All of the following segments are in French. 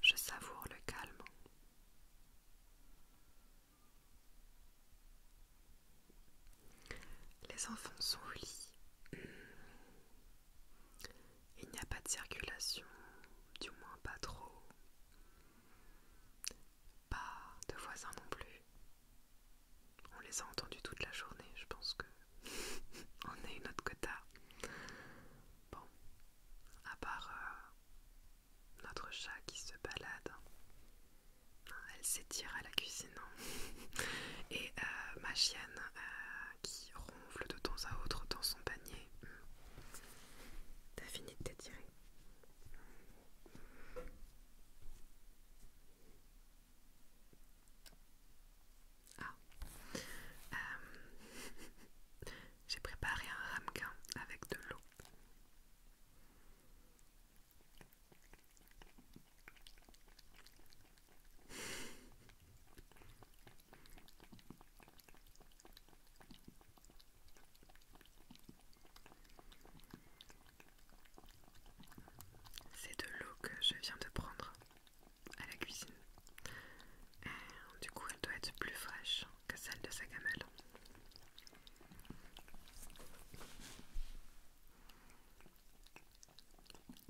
Je savoure le calme. Les enfants sont au il n'y a pas de circulation, du moins pas trop. Pas de voisins non plus. On les a entendus toute la journée, je pense que on est une autre quota. Bon, à part euh, notre chat qui se balade, hein, elle s'étire à la cuisine hein. et euh, ma chienne euh, qui ronfle de temps à autre dans son panier. Hmm. T'as fini de t'étirer. Ah. Euh, j'ai préparé un ramequin avec de l'eau. C'est de l'eau que je viens de prendre à la cuisine. Et euh, du coup, elle doit être plus fraîche que celle de sa gamelle.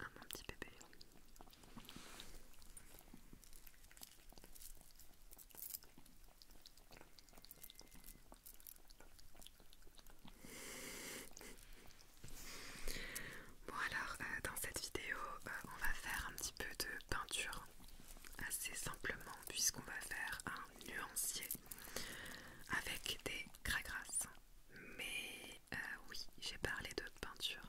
Ah, petit bébé. Bon alors euh, dans cette vidéo euh, on va faire un petit peu de peinture assez simplement puisqu'on va faire un nuancier avec des grasses. mais euh, oui j'ai parlé de peinture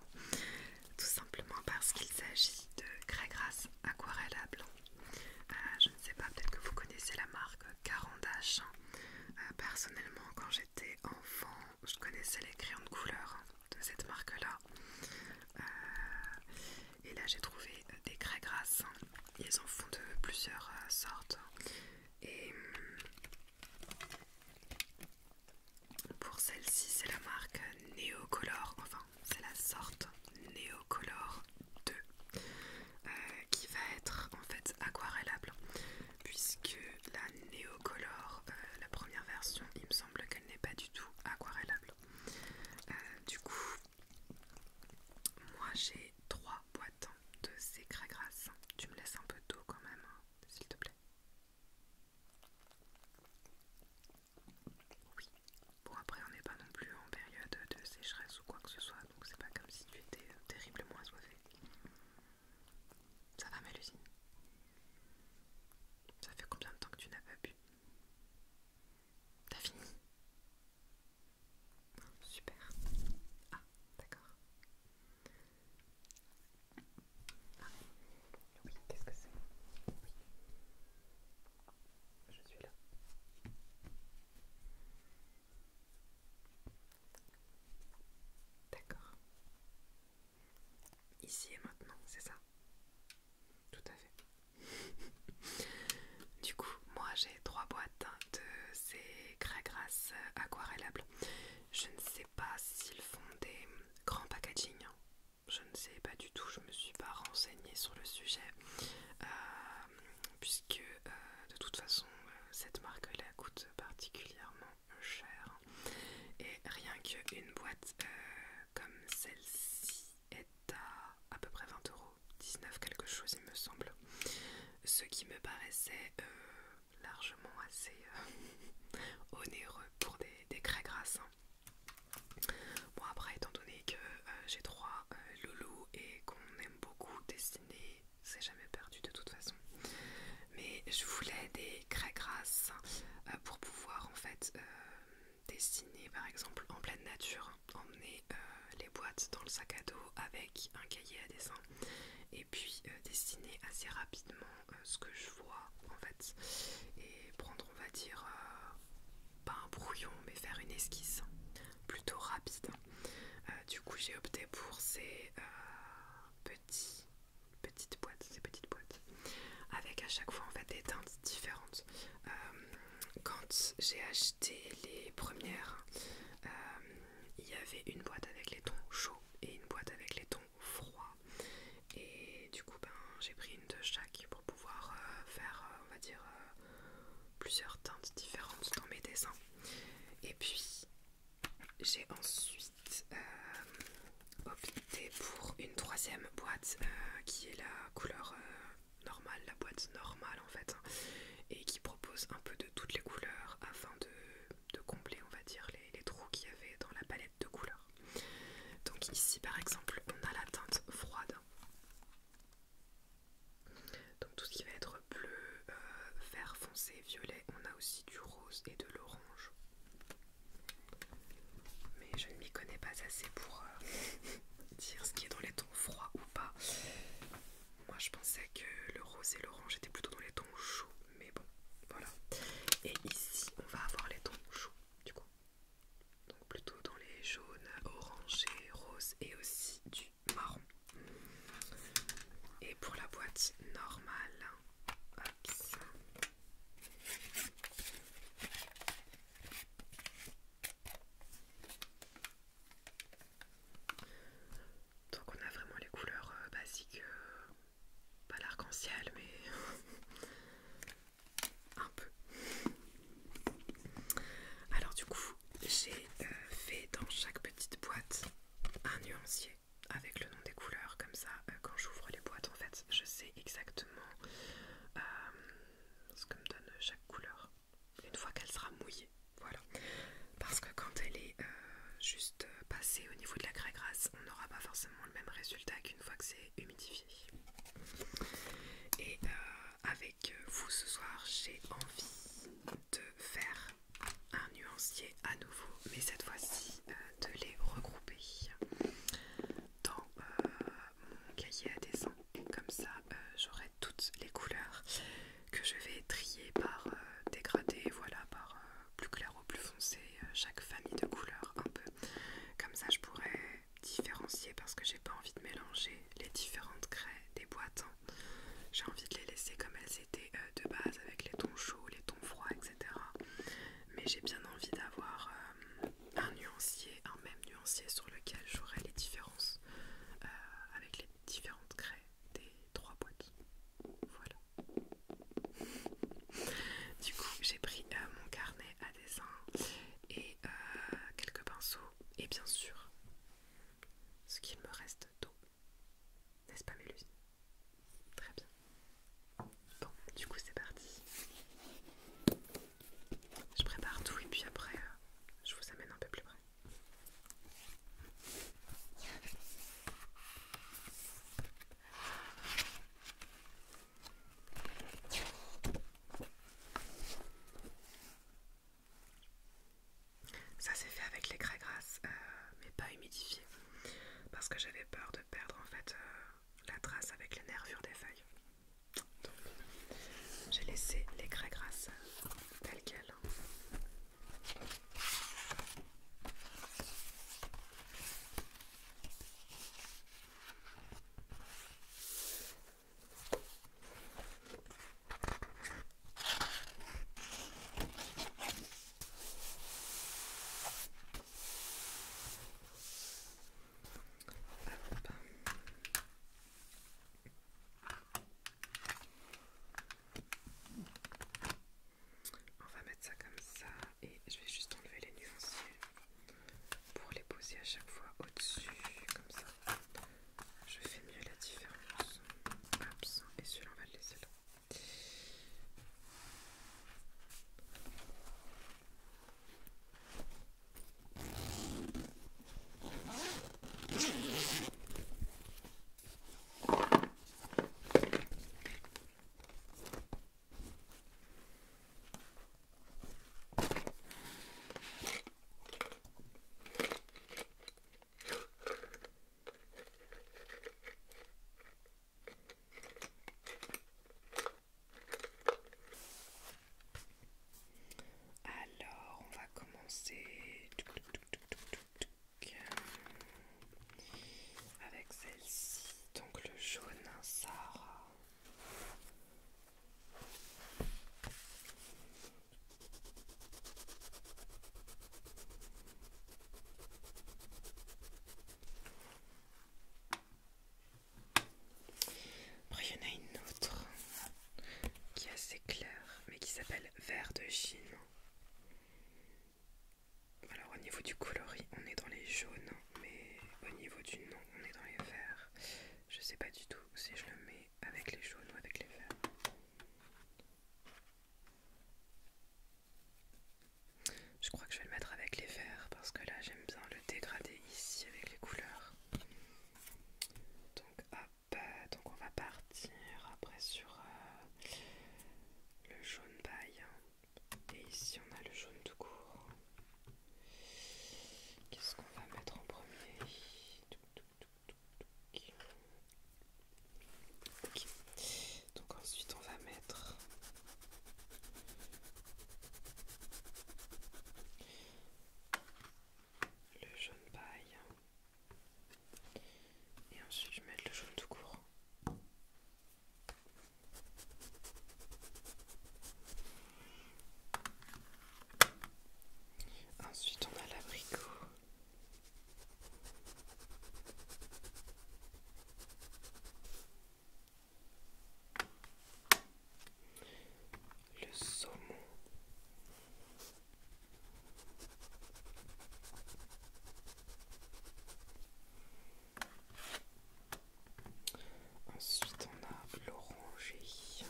tout simplement parce qu'il s'agit de craie grasse aquarelle euh, je ne sais pas, peut-être que vous connaissez la marque Carandache. Euh, personnellement, quand j'étais enfant, je connaissais les crayons de couleur de cette marque-là. Euh, et là, j'ai trouvé des craies grasses. Ils en font de plusieurs sortes. Et hum, pour celle-ci, c'est la marque Neocolor, enfin c'est la sorte Neocolor 2 euh, qui va être en fait aquarellable puisque la Neocolor, euh, la première version, il me semble qu'elle n'est pas du tout aquarellable. Euh, du coup, moi j'ai trois boîtes de ces grasses Tu me laisses un peu d'eau quand même, hein, s'il te plaît. Oui, bon après on n'est pas non plus en période de sécheresse ou quoi que ce soit, donc c'est pas comme si tu étais euh, terriblement assoiffé. Ça va malusine Ça fait combien de temps que tu n'as pas bu T'as fini Super. Ah, d'accord. Ah oui, qu'est-ce que c'est Oui. Je suis là. D'accord. Ici et maintenant, c'est ça Tout à fait. du coup, moi j'ai trois boîtes de ces craies grasses aquarellables. Je ne sais pas s'ils font des grands packaging je ne sais pas du tout, je me suis pas renseignée sur le sujet, euh, puisque euh, de toute façon, euh, cette marque-là coûte particulièrement cher. Et rien qu'une boîte comme celle-ci est à à peu près 20 euros, 19 quelque chose il me semble, ce qui me paraissait largement assez onéreux pour des, des craies grasses. Hein. Bon après étant donné que euh, j'ai trois euh, loulous et qu'on aime beaucoup dessiner, c'est jamais perdu de toute façon. Mais je voulais des craies grasses euh, pour pouvoir en fait dessiner par exemple en pleine nature, emmener les boîtes dans le sac à dos avec un cahier à dessin et puis dessiner assez rapidement euh, ce que je vois en fait et prendre on va dire euh, pas un brouillon mais faire une esquisse plutôt rapide euh, du coup j'ai opté pour ces petits petites boîtes ces petites boîtes avec à chaque fois en fait des teintes différentes quand j'ai acheté les premières il y avait une boîte avec les tons chauds et une boîte avec les tons froid. Et du coup, ben, j'ai pris une de chaque pour pouvoir euh, faire, euh, on va dire, euh, plusieurs teintes différentes dans mes dessins. Et puis, j'ai ensuite opté pour une troisième boîte qui est la couleur normale, la boîte normale en fait, hein, et qui propose un peu de toutes les couleurs afin de, combler, on va dire, les, les trous qu'il y avait dans la palette de couleurs. Donc ici par exemple on a la teinte froide. Donc tout ce qui va être bleu, euh, vert foncé, violet, on a aussi du rose et de l'orange. Mais je ne m'y connais pas assez pour euh, dire ce qui est dans les tons froids ou pas. Moi je pensais que le rose et l'orange étaient plutôt dans les tons chauds, mais bon, voilà. Et ici on va avoir les tons chauds du coup. Donc plutôt dans les jaunes, orangés, roses et aussi du marron. Et pour la boîte normale, Donc on a vraiment les couleurs euh, basiques euh, pas l'arc-en-ciel, mais un peu. Alors du coup, j'ai euh, fait dans chaque petite boîte un nuancier avec le nom des couleurs, comme ça, euh, quand j'ouvre les boîtes, en fait, je sais exactement euh, ce que me donne chaque couleur une fois qu'elle sera mouillée. Voilà, parce que quand elle est juste passée au niveau de la craie grasse, on n'aura pas forcément le même résultat qu'une fois que c'est humidifié. Et euh, avec vous ce soir, j'ai envie de faire un nuancier à nouveau, mais cette fois-ci euh, de les regrouper dans euh, mon cahier à dessin. Comme ça, j'aurai toutes les couleurs que je vais trier par dégradé, voilà, par plus clair au plus foncé, chaque famille de couleurs un peu comme ça, je pourrais différencier parce que j'ai pas envie de mélanger les différentes craies des boîtes. Hein. J'ai envie de les laisser comme elles étaient euh, de base avec les tons chauds, les tons froids, etc. Mais j'ai bien envie d'avoir euh, un nuancier, un même nuancier sur lequel j'aurai les différences euh, avec les différentes craies des trois boîtes. Voilà. Du coup, j'ai pris mon carnet des et euh, quelques pinceaux et bien sûr ce qu'il me reste d'eau. N'est-ce pas Mélusine Très bien. Bon, du coup c'est parti. Je prépare tout et puis après euh, je vous amène un peu plus près. Ça s'est fait avec les craies grasses, euh, mais pas humidifiées, parce que j'avais peur de perdre en fait euh, la trace avec les nervures des feuilles. j'ai laissé les craies grasses euh, telles quelles. On va mettre ça comme ça et je vais juste enlever les nuanciers pour les poser à chaque fois au-dessus, comme ça je fais mieux la différence. et celui-là on va le laisser là. Alors, on va commencer avec celle-ci, donc le jaune Sarah. Après, il y en a une autre qui est assez claire, mais qui s'appelle Vert de Chine. Alors, au niveau du coloris, on est dans les jaunes mais au niveau du nom, on est dans les verts. Je sais pas du tout si je le mets avec les jaunes ou avec les verts. Je crois que je vais le mettre avec les verts parce que là j'aime bien le dégrader ici avec les couleurs. Donc hop, donc on va partir après sur euh, le jaune bail et ici on a le jaune tout court. Qu'est-ce qu'on va mettre en premier Donc ensuite on va mettre le jaune paille. Et ensuite je mettre le jaune tout court. Ensuite, on a l'abricot. Le saumon. Ensuite, on a l'oranger.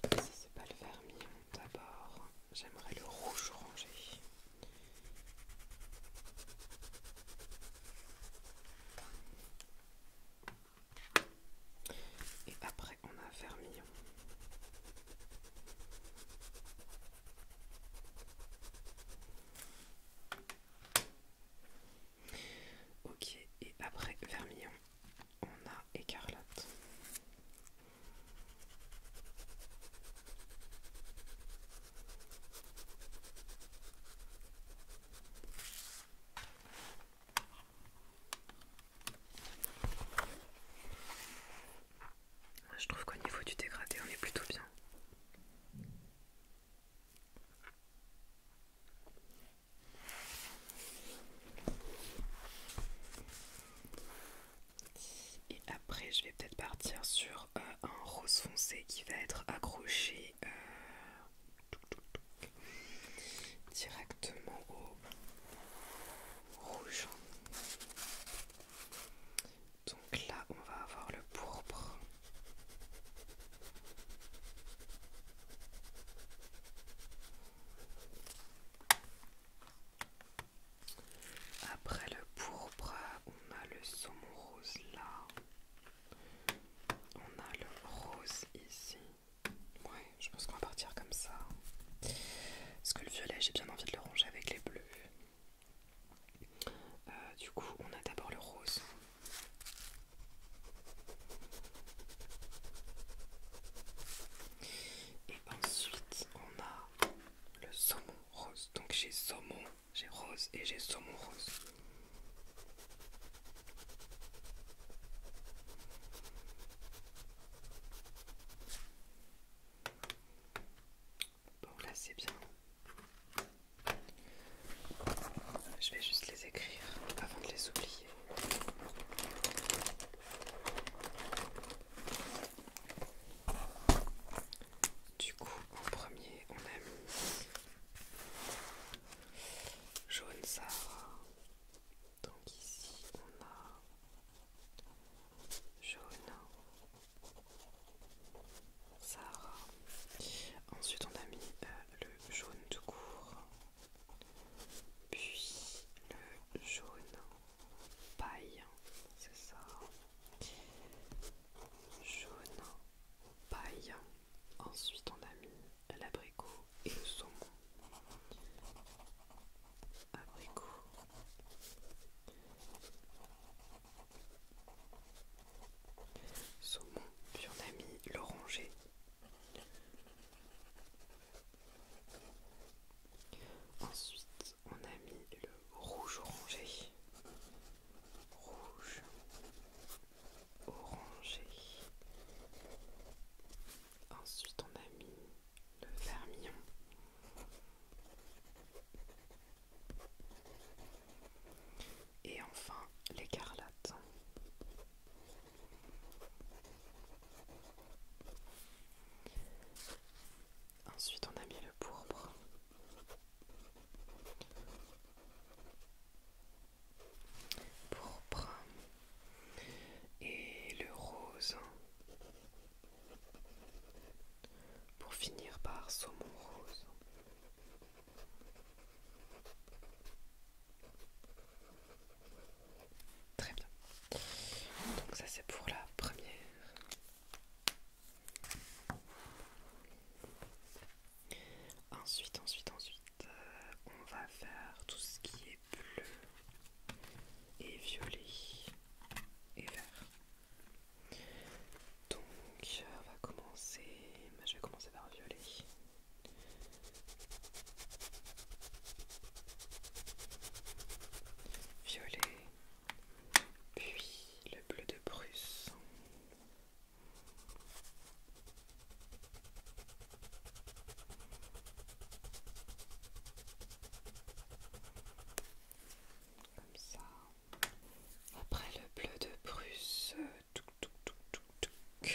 Ça, c'est pas le vermillon. D'abord, j'aimerais le rouge orangé. Et après, on a Vermillon. Ok, et après Vermillon, on a Écarlate je trouve qu'au niveau du dégradé, on est plutôt bien. Et après, je vais peut-être partir sur euh, un rose foncé qui va être accroché euh, directement au rouge. Donc là, on va avoir le pourpre. Après le pourpre, on a le saumon rose là. On a le rose ici. Ouais, je pense qu'on va partir comme ça. Parce que le violet, j'ai bien envie de le ranger avec les bleus. Euh, du coup, on a d'abord le rose. Et ensuite, on a le saumon rose. Donc j'ai saumon, j'ai rose et j'ai saumon rose. Bon là c'est bien. Je vais juste les écrire avant de les oublier. Du coup, en premier, on aime jaune Sarah. Donc ici on a jaune, sarah. Ensuite on a mis euh, le jaune de court, puis le jaune paille, c'est ça. Jaune paille. Ensuite on a mis l'abricot et le saumon. Abricot. Saumon, puis on a mis l'oranger. Ensuite, on a mis le rouge orangé. Rouge orangé. Ensuite, on a mis le vermillon. Et enfin l'écarlate. Ensuite on a mis le pourpre. Pourpre et le rose pour finir par saumon rose. Très bien. Donc ça c'est pour la première. Ensuite, ensuite, ensuite, euh, on va faire tout ce qui est bleu et violet et vert. Donc euh, on va commencer, je vais commencer par violet. Violet, puis le bleu de Prusse. Comme ça. Après le bleu de Prusse, euh,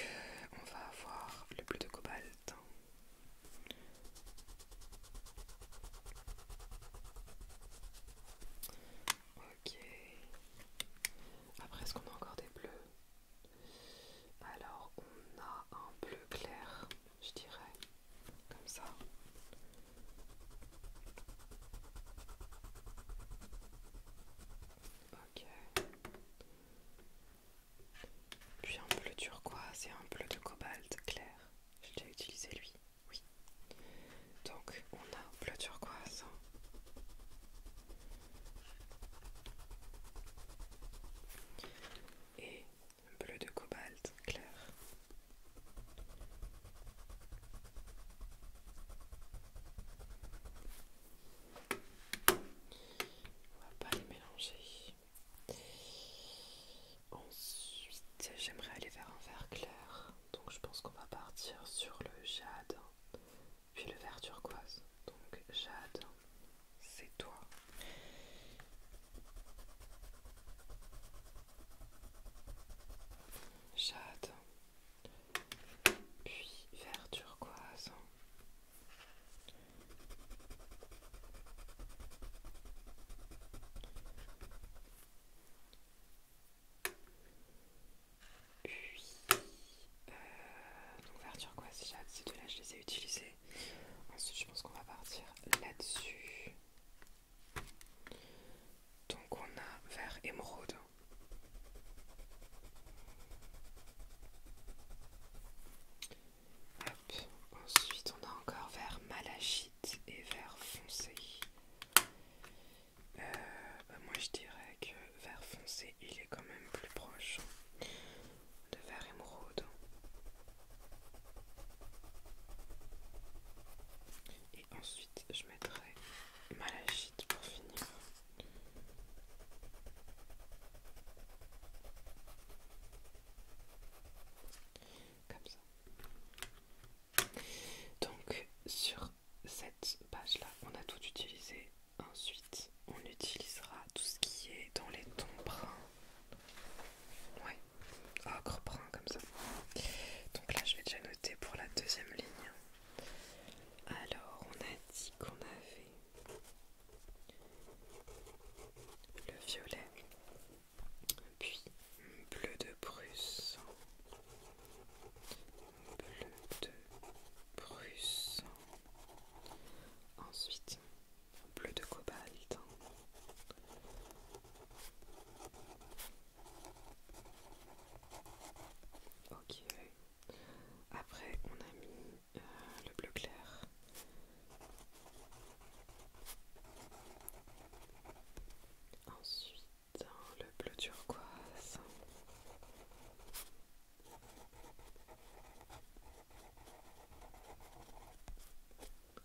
on va avoir le bleu de cobalt. Ok. Après, est-ce qu'on a encore des bleus Alors, on a un bleu clair je dirais, comme ça. Ok. Puis un bleu turquoise et un bleu de cobalt clair. J'ai déjà utilisé lui, oui. Donc on a bleu turquoise. Et bleu de cobalt clair. On va pas les mélanger. Ensuite, j'aimerais aller vers un vert clair. Donc je pense qu'on va partir sur le jade, puis le vert turquoise. Donc jade, c'est toi. Jade, puis vert turquoise. Puis, euh, vert turquoise, jade, ces deux-là, je les ai utilisés Ensuite, je pense qu'on va partir là-dessus. Donc, on a vert émeraude. Ensuite, on a encore vert malachite et vert foncé. Euh, bah, moi, je dirais que vert foncé, il est quand même plus proche de vert émeraude et ensuite je mettrai malachite pour finir comme ça donc sur cette page là on a tout utilisé ensuite on utilisera tout ce qui est dans les tons bruns Ouais, ocre brun comme ça. Donc là, je vais déjà noter pour la deuxième ligne. Alors, on a dit qu'on avait le violet, puis bleu de Prusse, bleu de Prusse, ensuite bleu de cobalt. Ok. Après, on a mis euh, le bleu clair. Ensuite, hein, le bleu turquoise.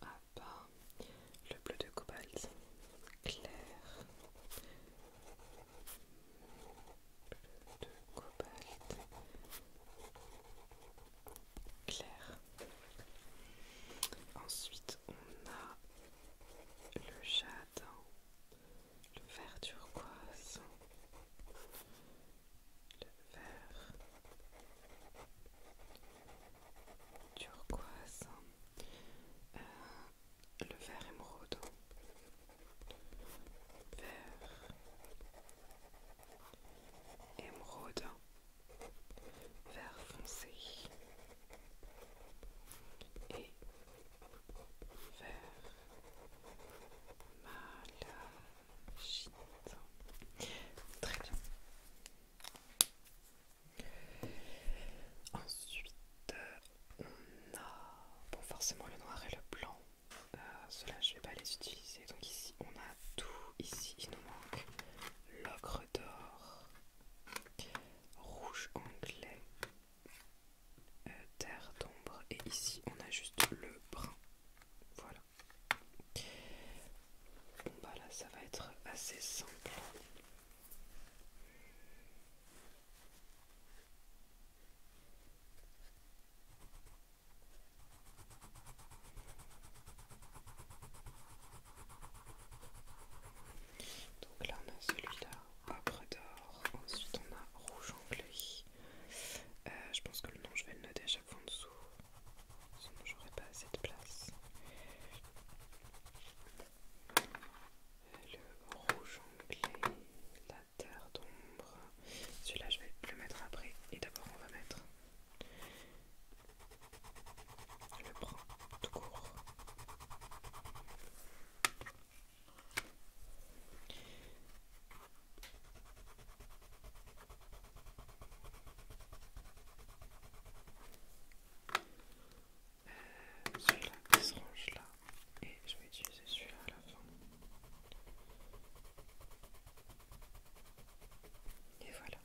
Ah bas, Le bleu de cobalt clair. Bleu de cobalt clair. Ensuite, on a le jade, le vert turquoise, le vert turquoise, euh, le vert émeraude, vert émeraude, vert foncé et vert malade. Très bien. Ensuite, euh, on a forcément le noir et le blanc. Euh, Cela, je vais pas les utiliser. Donc ici, on a tout. Ici, il nous manque l'ocre d'or, rouge anglais, euh, terre d'ombre, et ici, on a juste le brun. Voilà. Bon bah là ça va être assez simple. Donc là on a celui-là, ocre d'or, ensuite on a rouge anglais. Euh, je pense que le nom je vais le déjà en dessous, sinon j'aurais pas assez de place. Le rouge anglais, la terre d'ombre. Celui-là, je vais le mettre après. Et d'abord, on va mettre le bras tout court celui-là qui se range là et je vais utiliser celui-là à la fin. Et voilà.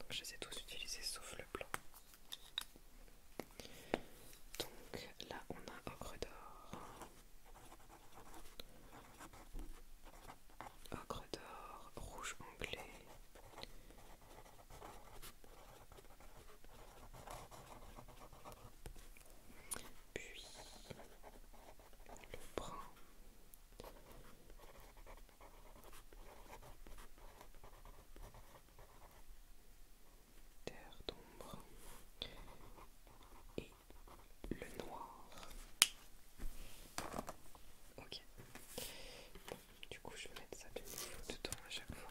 Donc je les ai tous utilisés sauf le blanc. Donc là on a ocre d'or. Ocre d'or, rouge anglais. Puis le brun. Terre d'ombre et le noir. Ok. du coup, je vais mettre ça tout dedans à chaque fois.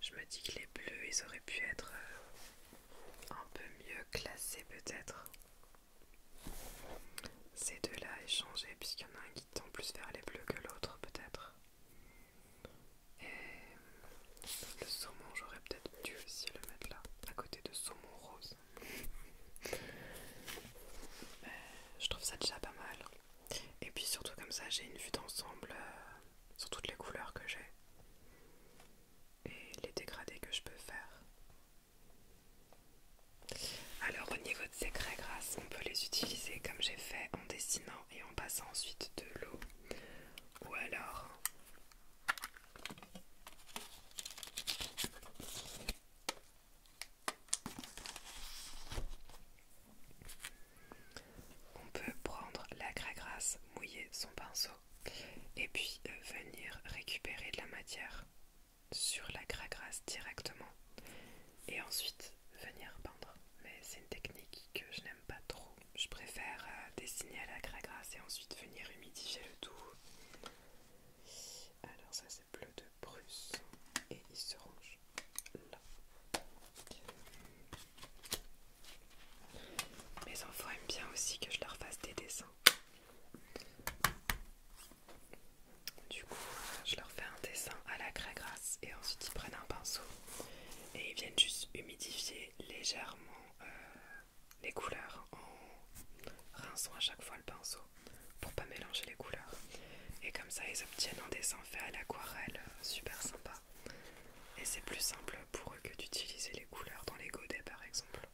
Je me dis que les bleus, ils auraient pu être euh, un peu mieux classés peut-être. Ces deux-là échangés, puisqu'il y en a un qui tend plus vers les bleus que l'autre peut-être. Et le saumon, j'aurais peut-être dû aussi le mettre là, à côté de saumon rose. Euh, je trouve ça déjà pas mal. Et puis surtout comme ça, j'ai une vue d'ensemble euh, sur toutes les couleurs que j'ai et les dégradés que je peux faire. Alors au niveau de ces craies grasses, on peut les utiliser comme j'ai fait en dessinant et en passant ensuite de l'eau ou alors on peut prendre la grasse, mouiller son pinceau et puis euh, venir récupérer de la matière sur la grasse directement et ensuite venir peindre. Mais c'est une technique que je n'aime pas trop. Je préfère euh, dessiner à la grasse et ensuite venir humidifier le tout. Alors ça c'est bleu de Bruce et il se range là. Mes enfants aiment bien aussi que je leur fasse des dessins. Du coup, euh, je leur fais un dessin à la craie grasse et ensuite ils prennent un pinceau et ils viennent juste humidifier légèrement euh, les couleurs en rinçant à chaque fois le pinceau pour pas mélanger les couleurs. Et comme ça, ils obtiennent un dessin fait à l'aquarelle euh, super sympa. Et c'est plus simple pour eux que d'utiliser les couleurs dans les godets par exemple.